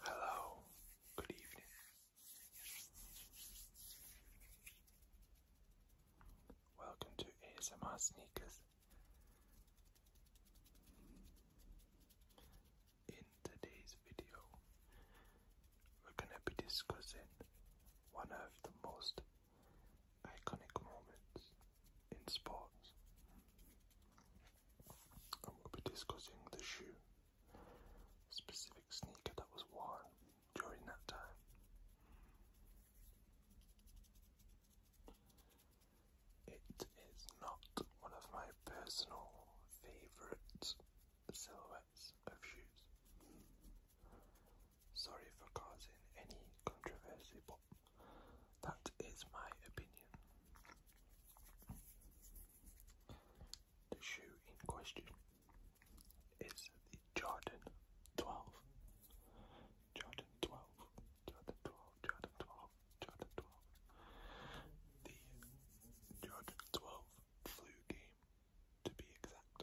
Hello, good evening, Welcome to ASMR Sneakers. In today's video, we're going to be discussing one of the most iconic moments in sports. And we'll be discussing the shoe specific sneaker that was worn during that time. It is not one of my personal favourite silhouettes of shoes. Sorry for causing any controversy, but that is my opinion. The shoe in question is the Jordan 12. Jordan 12, Jordan 12, Jordan 12, Jordan 12. The Jordan 12 flu game, to be exact.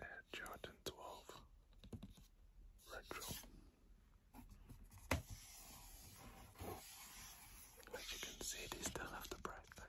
Air Jordan 12 Retro. As you can see, they still have the bright light.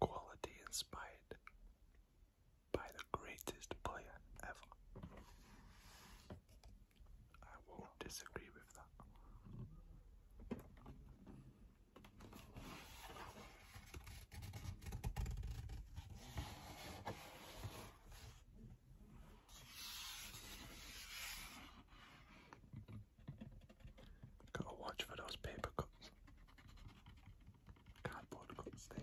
Quality inspired by the greatest player ever. I won't disagree with that. Gotta watch for those paper cups. Cardboard cups, they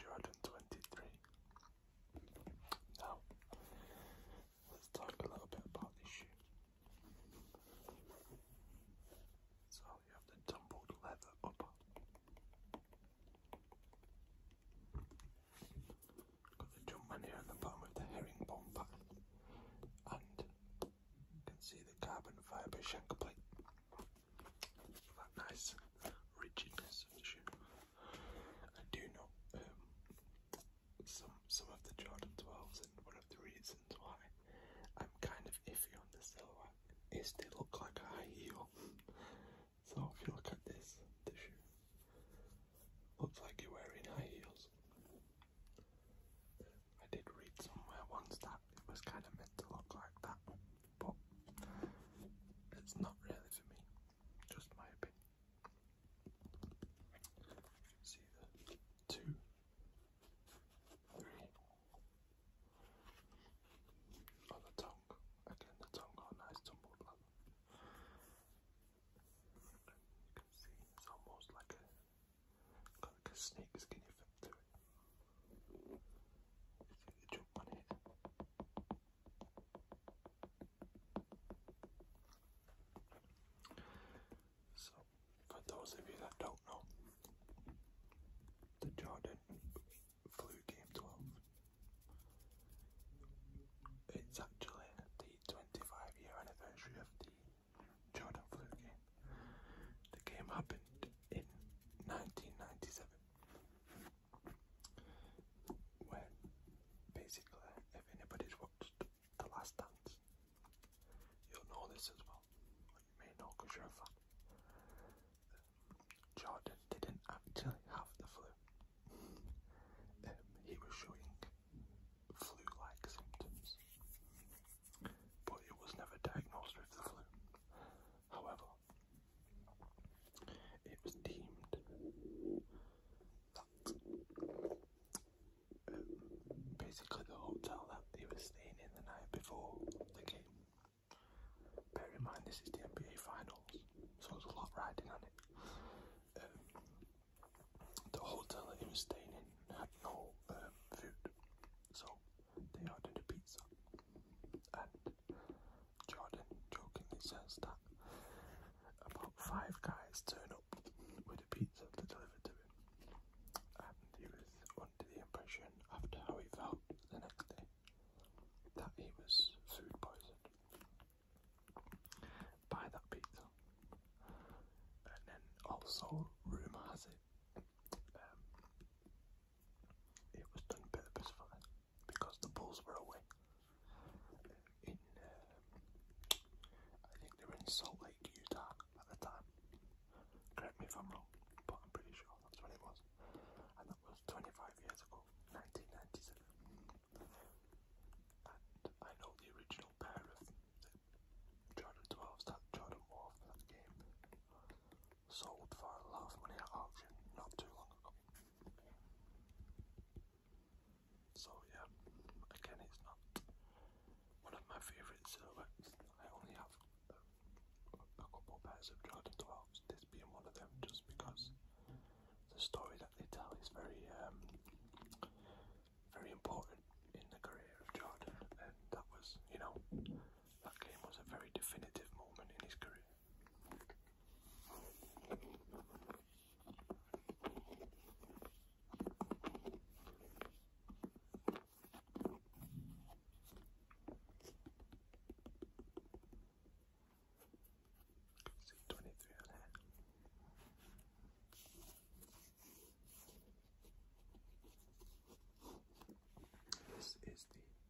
Jordan twenty three now, let's talk a little bit about this shoe. So, you have the tumbled leather upper. Got the Jumpman here at the bottom with the herringbone pattern. And you can see the carbon fibre shank plate. That nice rigidness of the shoe. I do know um, some some of the Jordan 12s and one of the reasons why I'm kind of iffy on the silhouette is they look like a high heel. so if you look at this, this looks like you're wearing high heels. I did read somewhere once that it was kind of meant to look like that, but it's not really for me, just my opinion. See the two, three. On the tongue, again the tongue got nice tumble You can see it's almost like a got like a snake skin effect it. jump on it. So, for those of you that don't know, the Jordan flew game 12. It's actually the 25 year anniversary of the Jordan flu game. The game happened in 1997. When basically, if anybody's watched The Last Dance, you'll know this as well. you may know because you're a fan. Um, Jordan didn't actually have the flu. Um, he was showing flu-like symptoms, but he was never diagnosed with the flu. However, it was deemed that um, basically the hotel that he was staying in the night before the game. Bear in mind, this is the NBA Finals, so there's a lot riding on it. Um, the hotel that he was staying in had no um, food, so they ordered a pizza and Jordan jokingly says that about five guys turn up with a pizza to deliver to him, and he was under the impression, after how he felt the next day, that he was food poisoned by that pizza. And then also, rumour has it, um, it was done purposefully because the Bulls were away. In uh, I think they were in Salt Lake, Utah at the time. Correct me if I'm wrong, but I'm pretty sure that's when it was. And that was 25 years ago, 1997. And I know the original pair of Jordan 12s that Jordan wore for that game sold for half money at auction not too long ago. So yeah, again it's not one of my favourite silhouettes. I only have a, a couple pairs of Jordan 12s, this being one of them just because the story that they tell is very um, very important in the career of Jordan that was, you know, that game was a very definitive moment in his career. See twenty three This is the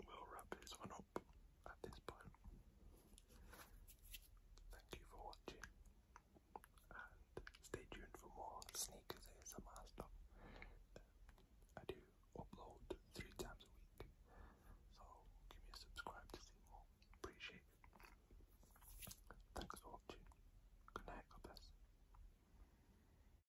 We'll wrap this one up at this point. Thank you for watching and stay tuned for more sneakers ASMR stuff. I do upload three times a week, so give me a subscribe to see more. Appreciate it. Thanks for watching. Good night, God bless.